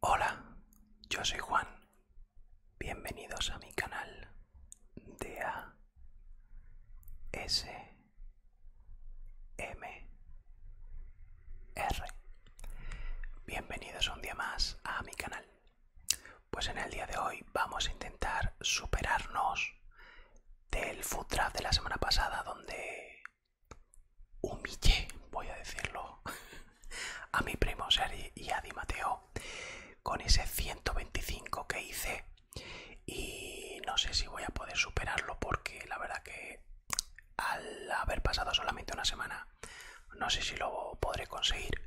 Hola, yo soy Juan. Bienvenidos a mi canal de A S M R. Bienvenidos un día más a mi canal. Pues en el día de hoy vamos a intentar superarnos del food draft de la semana pasada donde humillé, voy a decirlo, a mi primo Sari y a Di Mateo con ese 125 que hice y no sé si voy a poder superarlo porque la verdad que al haber pasado solamente una semana no sé si lo podré conseguir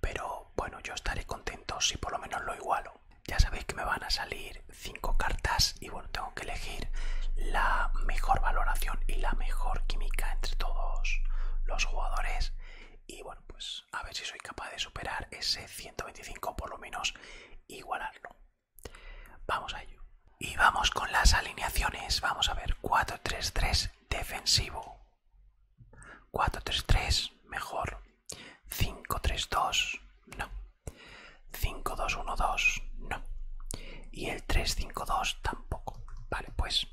pero bueno, yo estaré contento si por lo menos lo igualo. Ya sabéis que me van a salir cinco cartas y bueno, tengo que elegir la mejor valoración y la mejor química entre todos los jugadores. Y bueno, pues a ver si soy capaz de superar ese 125, por lo menos igualarlo. Vamos a ello. Y vamos con las alineaciones. Vamos a ver 4-3-3 defensivo. 4-3-3, mejor. 5-3-2, no. 5-2-1-2, no. Y el 3-5-2 tampoco. Vale, pues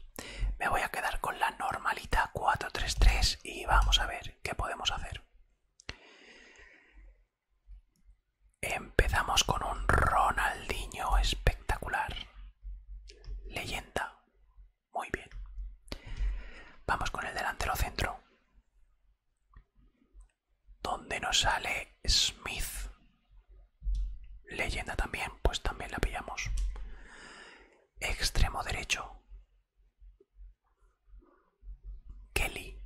me voy a quedar con la normalita 4-3-3 y vamos a ver qué podemos hacer. Empezamos con un Ronaldinho espectacular. Leyenda. Muy bien. Vamos con el delantero centro. Donde nos sale Smith. Leyenda también, pues también la pillamos. Extremo derecho. Kelly.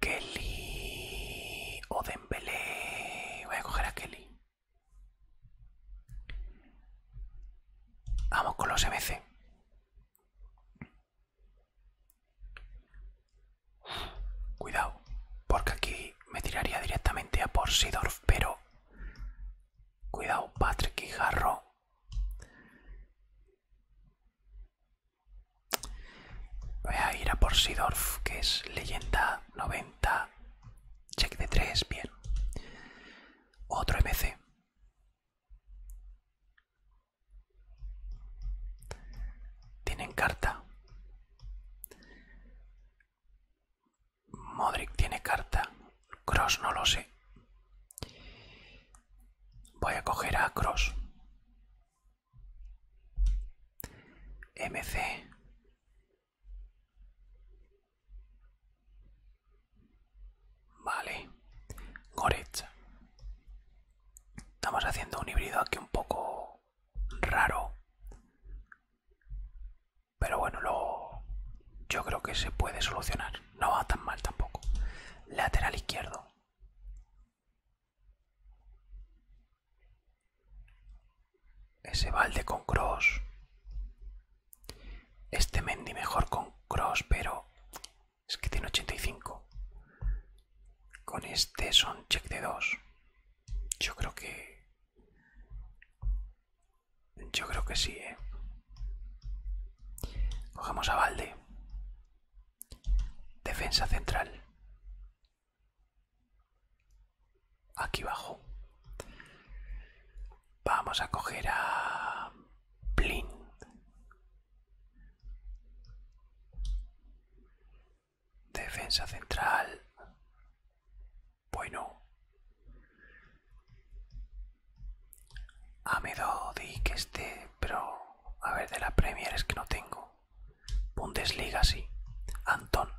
Kelly. O Voy a coger a Kelly. Vamos con los MC. Cuidado, porque aquí me tiraría directamente a Porsidorf pero... Cuidado, Patrick y Jarro. Voy a ir a Porsidorf que es leyenda 90 Check de tres, bien. Otro MC. Tienen carta. Modric tiene carta. Cross no lo sé. Voy a coger a Cross. MC. Vale. Goretz. Estamos haciendo un híbrido aquí un poco raro. Pero bueno, lo... yo creo que se puede solucionar. No va tan mal tampoco. Lateral izquierdo. Ese balde con cross. Este Mendy mejor con cross, pero es que tiene 85. Con este son check de 2. Yo creo que... Yo creo que sí, ¿eh? Cogemos a balde. Defensa central aquí abajo. Vamos a coger a Blin. Defensa central. Bueno. A ah, di que esté, pero a ver, de la Premier es que no tengo. Bundesliga sí. Antón.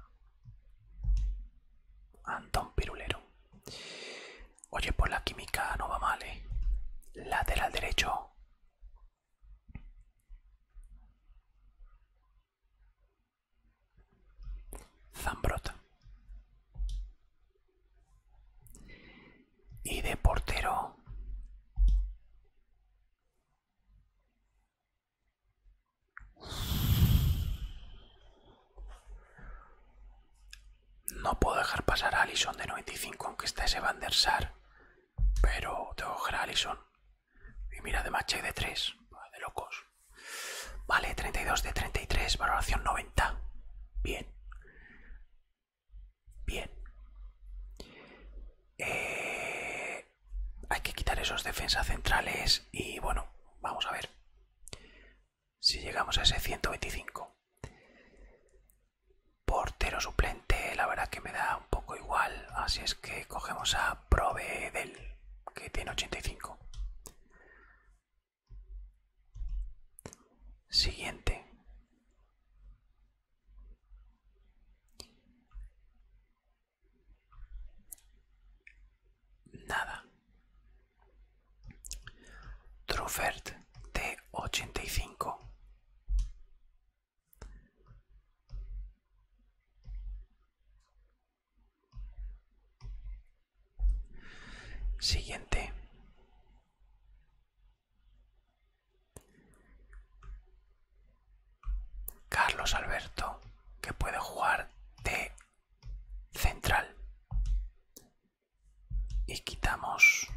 Antón Pirulero. Oye, por pues la química no va mal, ¿eh? Lateral derecho. Zambrota. Y de portero. No puedo dejar pasar a Allison de 95 aunque está ese Van der Sar, pero tengo que coger a Allison. Y mira, de match de 3, de locos. Vale, 32 de 33, valoración 90. Bien. Bien. Eh, hay que quitar esos defensas centrales y bueno, vamos a ver si llegamos a ese 125. Portero suplente, la verdad que me da un poco igual, así es que cogemos a del que tiene 85. Siguiente. Nada. Truffert de 85. Siguiente. Carlos Alberto, que puede jugar de central y quitamos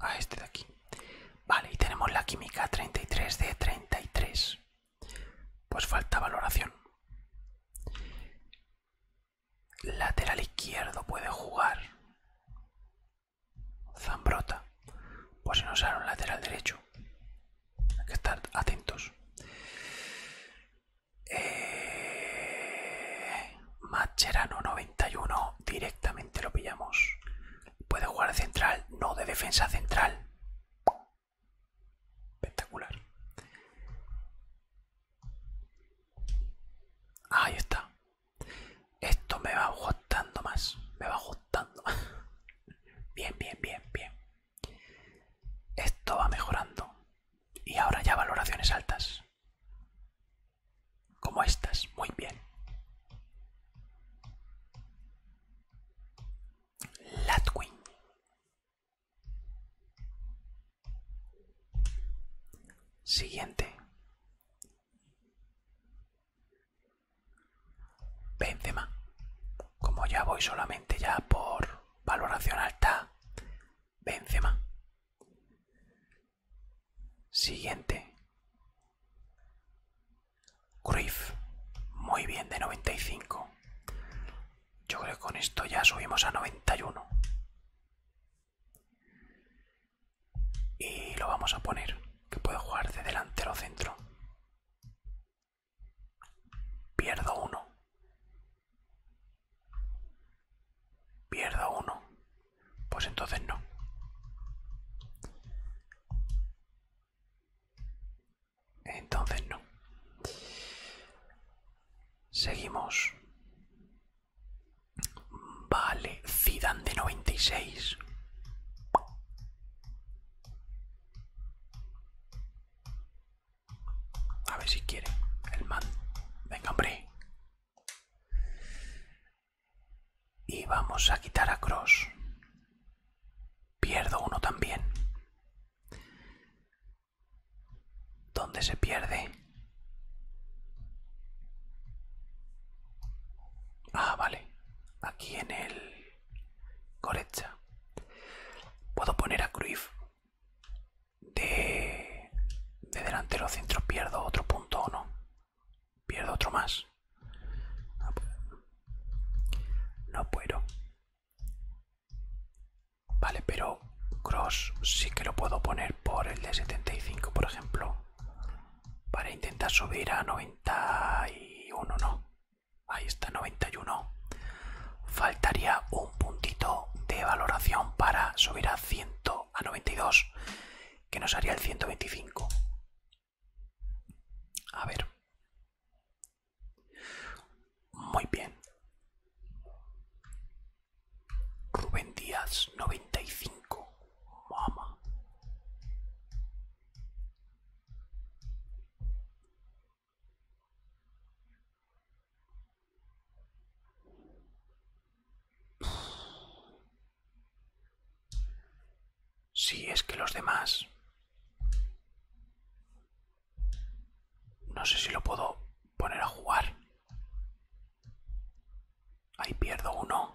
a este de aquí vale y tenemos la química 33 de 33 pues falta valoración lateral izquierdo puede jugar Zambrota. Pues nos usar un lateral derecho. Hay que estar atentos. Eh, Macherano 91. Directamente lo pillamos. Puede jugar central, no de defensa central. Espectacular. Ahí está. Esto me va ajustando más, me va ajustando más. Bien, bien, bien, bien. Esto va mejorando. Y ahora ya valoraciones altas. Como estas, muy bien. Latwin. Siguiente. Benzema. Como ya voy solamente ya por valoración alta, Benzema. Siguiente. Cruyff. Muy bien, de 95. Yo creo que con esto ya subimos a 91 y lo vamos a poner que puede jugar de delantero centro pierdo uno pierdo uno pues entonces no entonces no seguimos Vale, Zidane de 96. A ver si quiere el man. Venga, hombre. Y vamos a quitar a Cross. Pierdo uno también. ¿Dónde se pierde? Ah, vale. Aquí en el... corecha Puedo poner a Cruyff de... De delantero centro pierdo otro punto o no. Pierdo otro más. No ah, puedo. No puedo. Vale, pero Cross sí que lo puedo poner por el de 75, por ejemplo para intentar subir a 91, ¿no? Ahí está, 91. Faltaría un puntito de valoración para subir a 100, a 92, que nos haría el 125. A ver. Muy bien. Rubén Díaz, 95. Mama. Si sí, es que los demás... No sé si lo puedo poner a jugar. Ahí pierdo uno.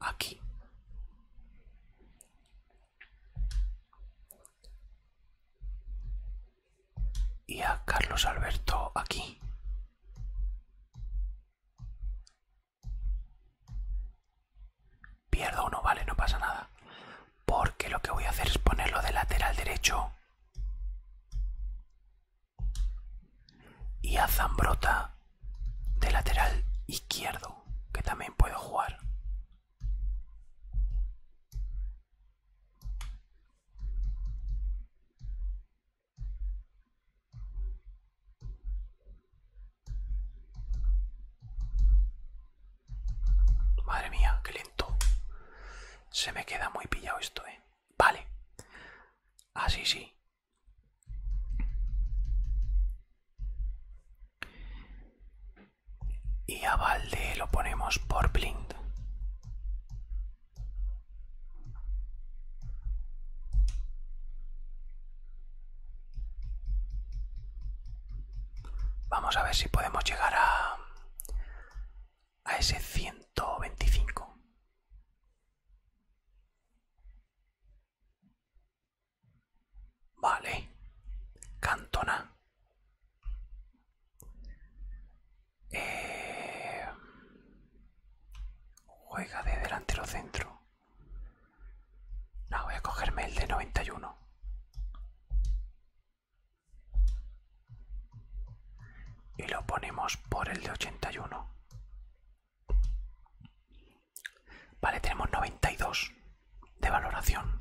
Aquí. Y a Carlos Alberto aquí. Pierdo no vale, no pasa nada. Porque lo que voy a hacer es ponerlo de lateral derecho. Y a Zambrota de lateral izquierdo, que también puedo jugar. Madre mía, qué lento. Se me queda muy pillado esto, ¿eh? Vale. Así ah, sí. Y a Valde lo ponemos por blind. Vamos a ver si podemos llegar a, a ese 125. Vale, Cantona. Eh, juega de delantero centro. No, voy a cogerme el de 91. Y lo ponemos por el de 81. Vale, tenemos 92 de valoración.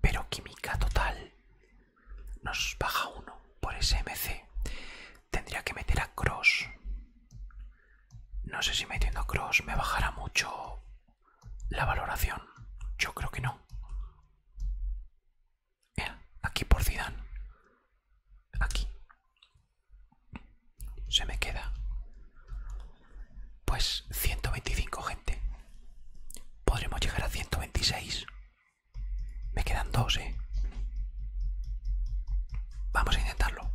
Pero química total nos baja uno por SMC. Tendría que meter a Cross. No sé si metiendo Cross me bajará mucho la valoración. Yo creo que no. aquí por Zidane. Aquí. Se me queda. Pues 125 gente. Podremos llegar a 126. Me quedan dos, ¿eh? Vamos a intentarlo.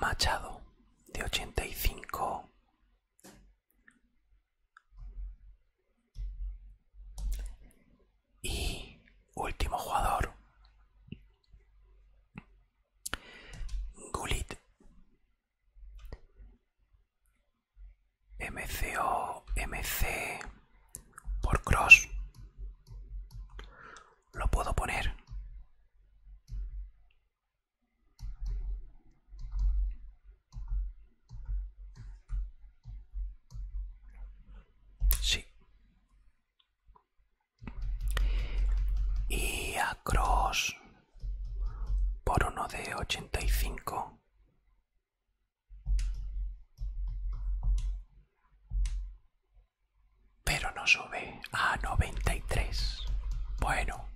Machado de 85 y último jugador Gulit MCO, MC por cross. Lo puedo poner. Sí. Y a cross por uno de 85 pero no sube a 93 bueno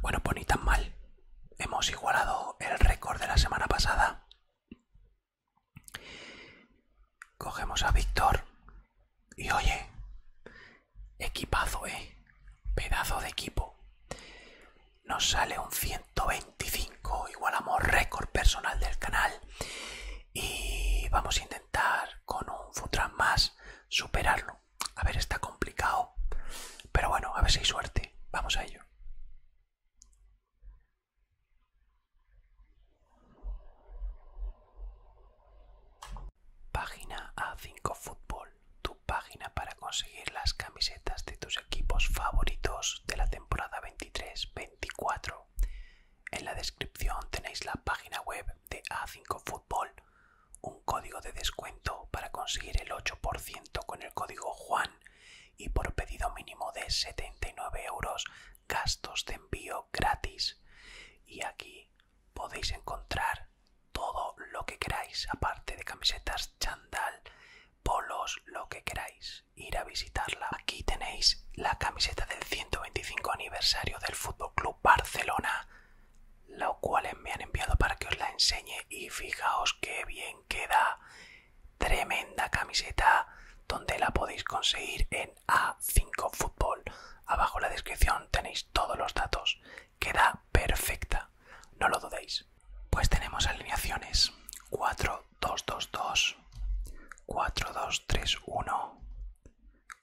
bueno pues ni tan mal hemos igualado el récord de la semana pasada cogemos a víctor y oye Equipazo, eh. Pedazo de equipo. Nos sale un 125, igualamos récord personal del canal. Y vamos a intentar con un Futran más superarlo. A ver, está complicado. Pero bueno, a ver si hay suerte. Vamos a ello. Página A5 Fútbol, tu página para conseguir las camisetas de tus equipos favoritos de la temporada 23-24. En la descripción tenéis la página web de A5 Fútbol, un código de descuento para conseguir el 8% con el código Juan y por pedido mínimo de 79 euros gastos de envío gratis. Y aquí podéis encontrar todo lo que queráis, aparte de camisetas, chandal, polos, lo que queráis. Ir a visitarla. Aquí tenéis la camiseta del 125 aniversario del Fútbol Club Barcelona, la cual me han enviado para que os la enseñe. Y fijaos qué bien queda. Tremenda camiseta, donde la podéis conseguir en A5 Fútbol. Abajo en la descripción tenéis todos los datos. Queda perfecta, no lo dudéis. Pues tenemos alineaciones 4, 2, 2, 2, 4, 2, 3, 1,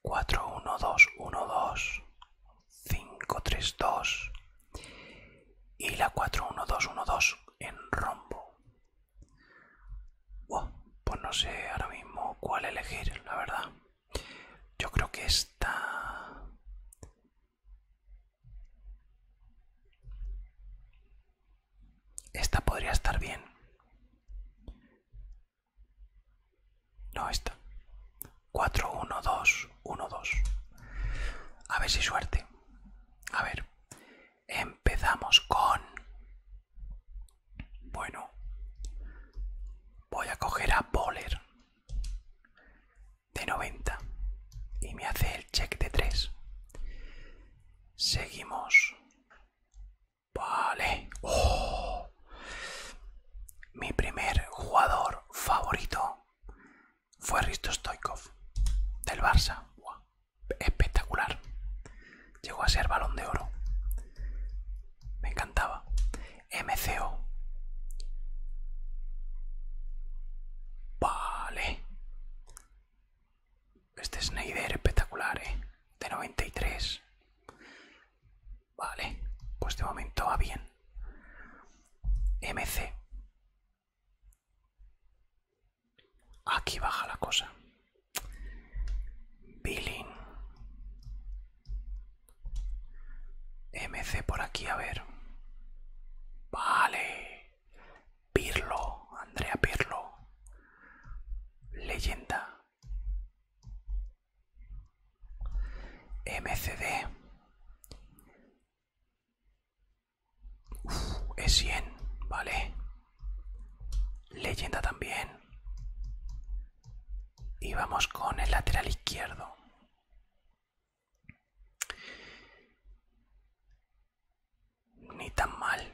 4, 1, 2, 1, 2, 5, 3, 2 y la 4, 1, 2, 1, 2 en rombo. pues no sé ahora mismo cuál elegir, la verdad. Yo creo que esta... Esta podría estar bien. No, esta. 4, 1, 2, 1, 2. A ver si suerte. A ver. Empezamos con... Bueno. Voy a coger a Boller de 90 y me hace el check de 3. Seguimos. Vale. Oh. Mi primer jugador favorito fue Risto Stoikov del Barça. Espectacular. Llegó a ser balón de oro. Me encantaba. MCO. Vale. Este Snyder espectacular, ¿eh? De 93. Vale, pues de momento va bien. MC. Aquí baja la cosa. Billing. MC por aquí, a ver. Vale. Pirlo, Andrea Pirlo. Leyenda. MCD. es 100, vale. Leyenda también y vamos con el lateral izquierdo. Ni tan mal.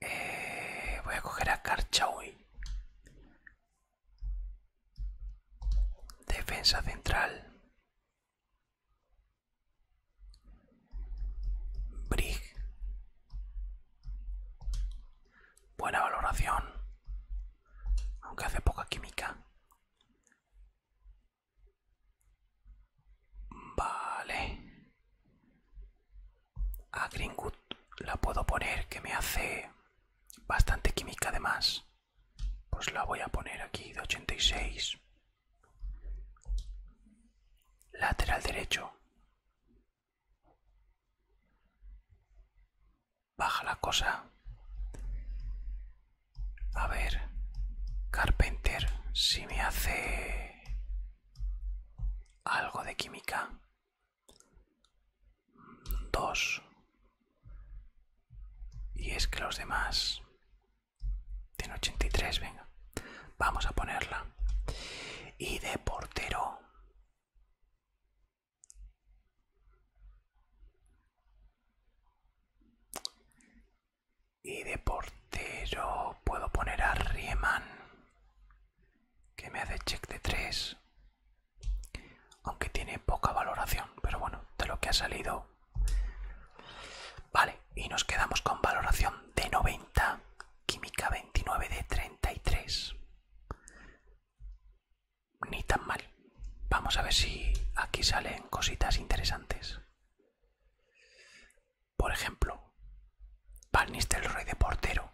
Eh, voy a coger a hoy. Defensa central. Brig. Buena valoración. Aunque hace poca química. Vale. A Greenwood la puedo poner que me hace bastante química además. Pues la voy a poner aquí de 86. Lateral derecho. Baja la cosa. A ver, Carpenter, si me hace algo de química. Dos. Y es que los demás... y 83, venga. Vamos a ponerla. Y de portero y de portero puedo poner a Riemann, que me hace check de 3. Aunque tiene poca valoración, pero bueno, de lo que ha salido. Vale, y nos quedamos con valoración de 90, química 29 de 33. Ni tan mal. Vamos a ver si aquí salen cositas interesantes. Por ejemplo, el rey de portero.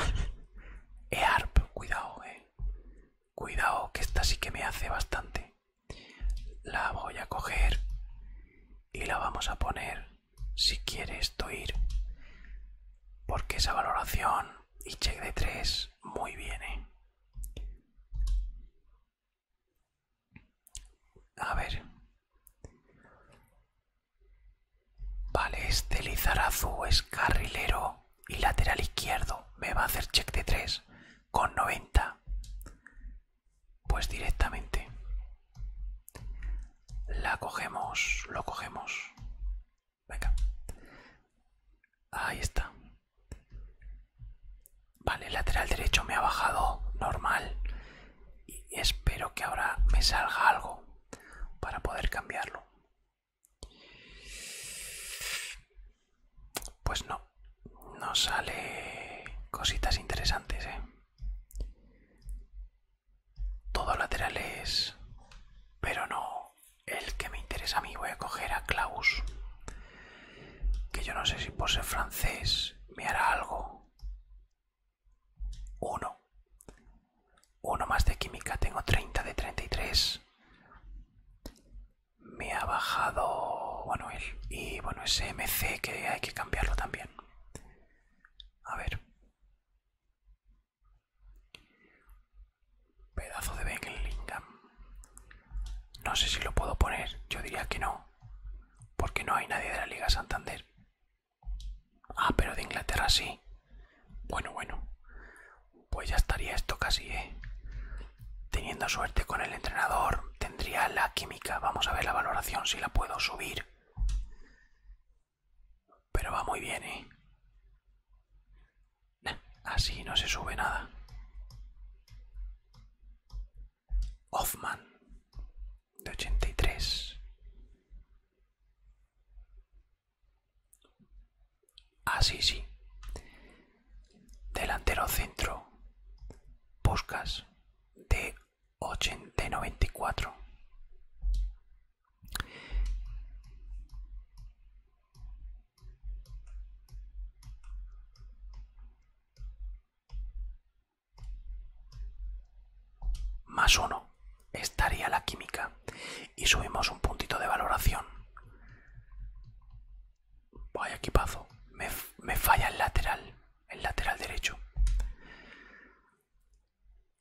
Earp, eh, cuidado, eh. Cuidado, que esta sí que me hace bastante. La voy a coger y la vamos a poner si quieres tú ir. Porque esa valoración y check de 3 muy bien, ¿eh? A ver. Vale, este Lizarazu es carrilero y lateral izquierdo. Me va a hacer check de 3 con 90. Pues directamente. La cogemos, lo cogemos. Venga. Ahí está. Vale, lateral derecho me ha bajado normal. Y espero que ahora me salga algo para poder cambiarlo. Pues no, no sale cositas interesantes, ¿eh? Todo laterales, Pero no, el que me interesa a mí voy a coger a Klaus. Que yo no sé si por ser francés me hará algo. Uno. Uno más de química, tengo 30 de 33. Me ha bajado... Bueno, él. Y bueno, ese MC que hay que cambiarlo también. A ver. Pedazo de Ben No sé si lo puedo poner, yo diría que no, porque no hay nadie de la Liga Santander. Ah, pero de Inglaterra sí. Bueno, bueno. Pues ya estaría esto casi, ¿eh? Teniendo suerte con el entrenador, tendría la química. Vamos a ver la valoración si la puedo subir. Pero va muy bien, ¿eh? Así no se sube nada. Hoffman, de 83. Así ah, sí. Delantero centro. Buscas de 80 y 94 más 1 estaría la química y subimos un puntito de valoración vaya equipazo me, me falla el lateral el lateral derecho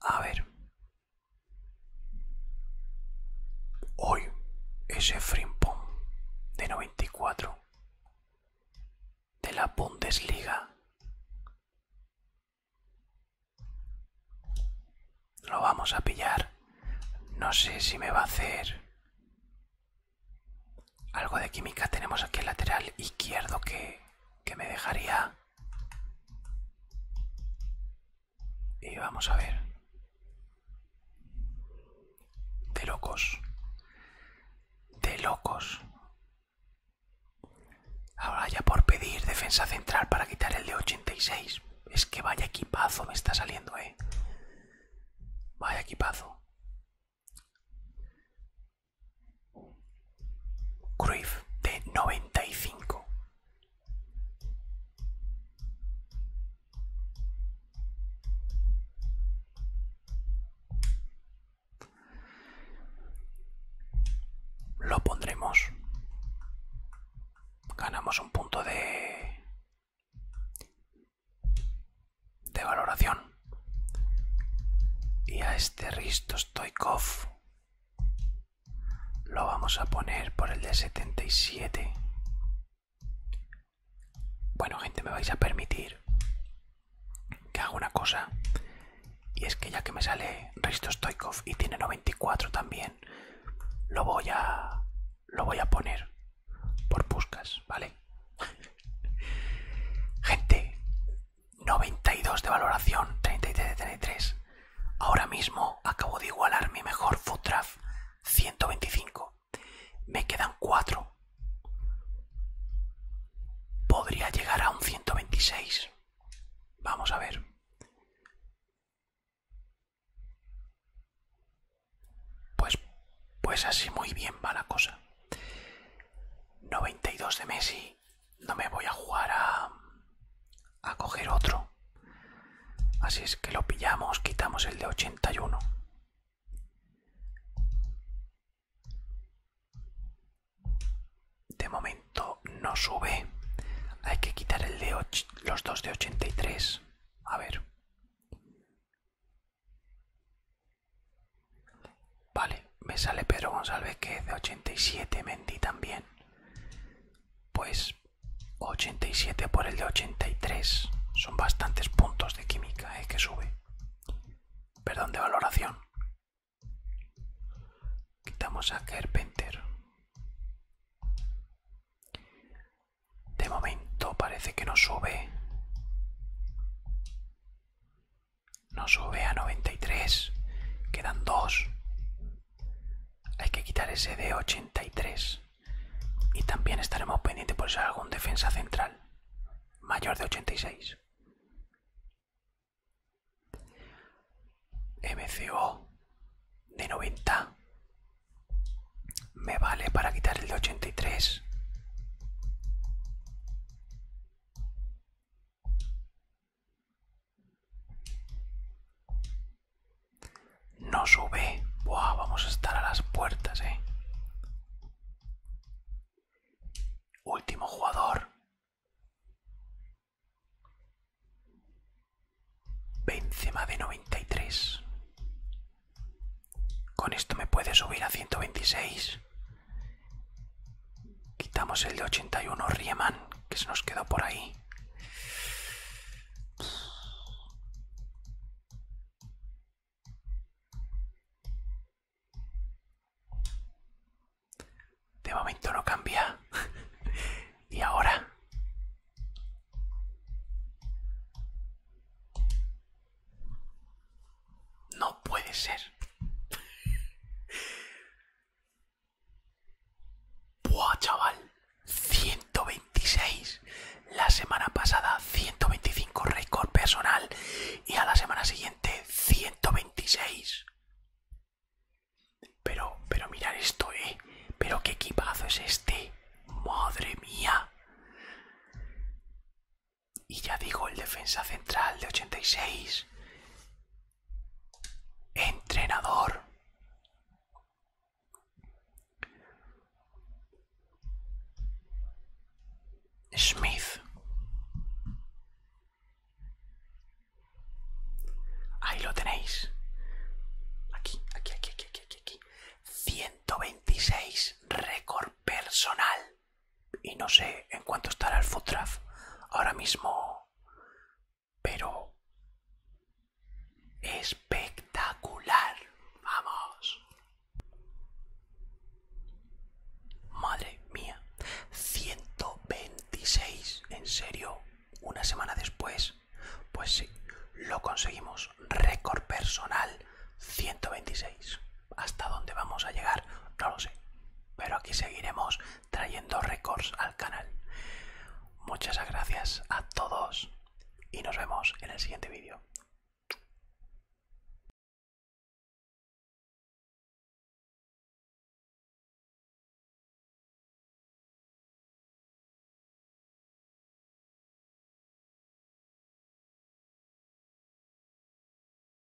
a ver. Hoy ese Frimpong de 94 de la Bundesliga lo vamos a pillar. No sé si me va a hacer algo de química. Tenemos aquí el lateral izquierdo que me dejaría y vamos a ver. De locos. De locos. Ahora ya por pedir defensa central para quitar el de 86. Es que vaya equipazo me está saliendo, eh. Vaya equipazo. Cruyff de 95. Lo pondremos. Ganamos un punto de de valoración. Y a este Risto Stoikov lo vamos a poner por el de 77. Bueno, gente, me vais a permitir que haga una cosa. Y es que ya que me sale Risto Stoikov y tiene 94 también, lo voy a, lo voy a poner por Puskas, ¿vale? Gente, 92 de valoración, 33 de 33. Ahora mismo acabo de igualar mi mejor food 125. Me quedan 4. Podría llegar a un 126. Vamos a ver. Pues, pues así muy bien va la cosa. 92 de Messi, no me voy a jugar a, a coger otro. Así es que lo pillamos, quitamos el de 81. De momento no sube. Hay que quitar el de los dos de 83. A ver. Vale, me sale Pedro González que es de 87, Mendy también. Pues 87 por el de 83. Son bastantes puntos de química es eh, que sube. Perdón, de valoración. Quitamos a Carpenter, De momento parece que no sube. No sube a 93. Quedan dos. Hay que quitar ese de 83. Y también estaremos pendientes por si algún defensa central. Mayor de 86. MCO de 90. Me vale para quitar el de 83. No sube. Buah, vamos a estar a las puertas, eh. Último jugador. de noventa de 93. Con esto me puede subir a 126. Quitamos el de 81 Riemann, que se nos quedó por ahí. De momento no cambia. y ahora... No puede ser. Buah, chaval. 126. La semana pasada 125 récord personal y a la semana siguiente 126. Pero, pero mirar esto, eh. Pero qué equipazo es este. Madre mía. Y ya digo, el defensa central de 86. Entrenador. Smith. Ahí lo tenéis. Aquí, aquí, aquí, aquí, aquí, aquí. 126 récord personal y no sé en cuánto estará el food ahora mismo, pero espectacular. Vamos. Madre mía, 126, en serio, una semana después. Pues sí, lo conseguimos. Récord personal 126 hasta dónde vamos a llegar, no lo sé. Pero aquí seguiremos trayendo récords al canal. Muchas gracias a todos y nos vemos en el siguiente vídeo.